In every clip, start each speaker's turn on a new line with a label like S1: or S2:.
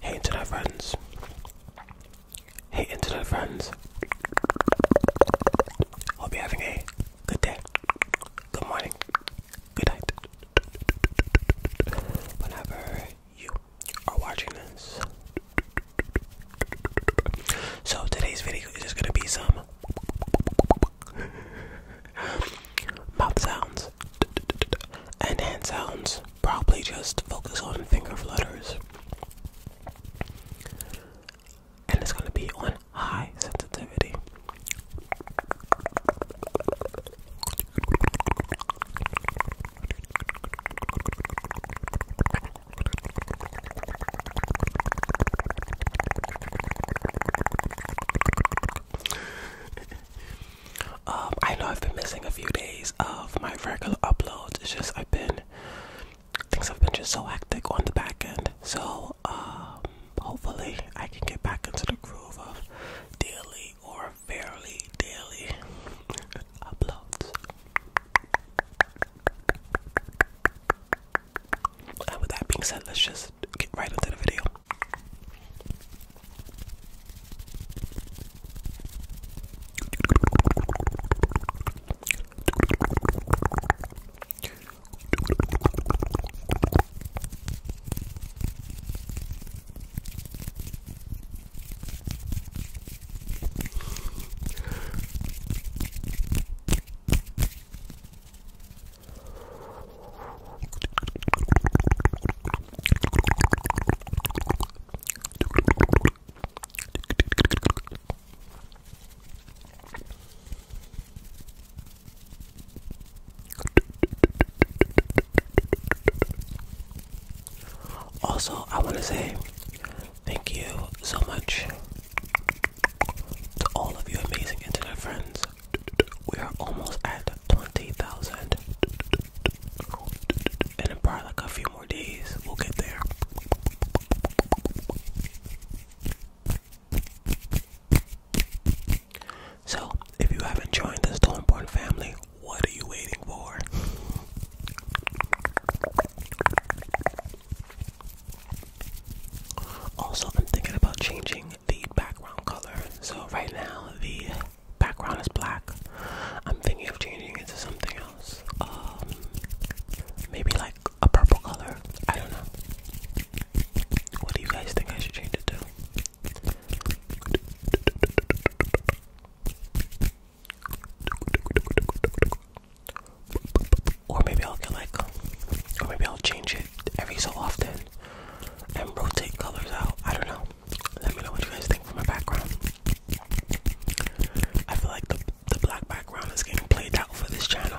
S1: Hey internet friends. Hey internet friends. Hope you're having a good day. Good morning. Good night. Whenever you are watching this. So today's video is just gonna be some mouth sounds and hand sounds. Probably just focus on finger flutters. And it's going to be on high sensitivity um, I know I've been missing a few days of my regular uploads. It's just I've been things have been just so hectic on the back end. So um, hopefully I can get back into the groove of daily or fairly daily uploads. Uh, with that being said, let's just get right into the video. Also, I want to say thank you so much to all of you amazing internet friends, we are almost at 20,000. And in probably like a few more days, we'll get there. So, if you haven't joined the Stormborn family, what are you waiting for? Also, I'm thinking about changing the background color. So, right now, the background is black. I'm thinking of changing it to something else. Um, maybe like a purple color. I don't know. What do you guys think I should change it to? Or maybe I'll get like, or maybe I'll change it every so often and rotate colors out. I don't know. Let me know what you guys think from my background. I feel like the, the black background is getting played out for this channel.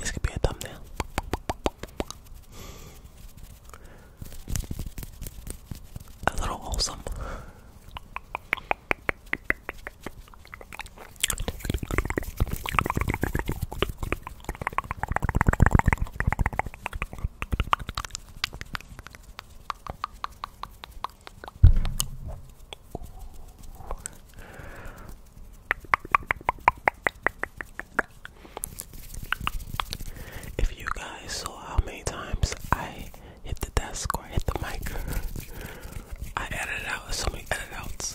S1: This could be a thumbnail. A little wholesome. If you guys saw how many times I hit the desk or hit the mic I edited out so many edit outs.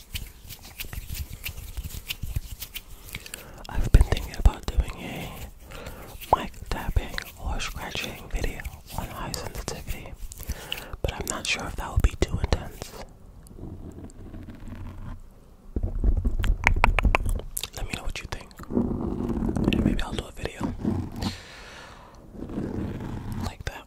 S1: I've been thinking about doing a mic tapping or scratching video on high sensitivity, but I'm not sure if that would be too intense. Let me know what you think. maybe I'll do a video like that.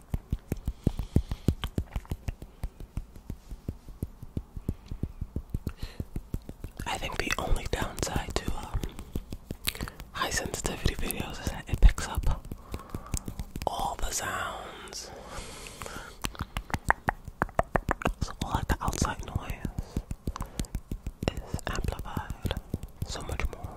S1: I think the only downside to um, high sensitivity videos is that it picks up all the sounds. So all the outside noise is amplified so much more.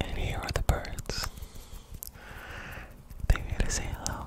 S1: And here are the birds. they here to say hello.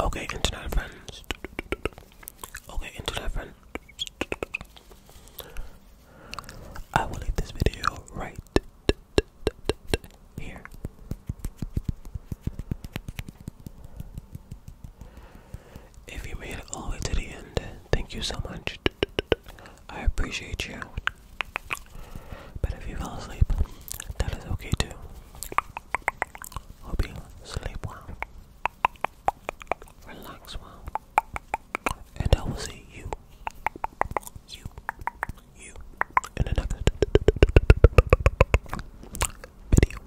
S1: Okay, internet friends. Okay, internet friends. I will leave this video right here. If you made it all the way to the end, thank you so much. I appreciate you. But if you fell asleep, that is okay too. Hope you sleep well, relax well, and I will see you, you, you in the video.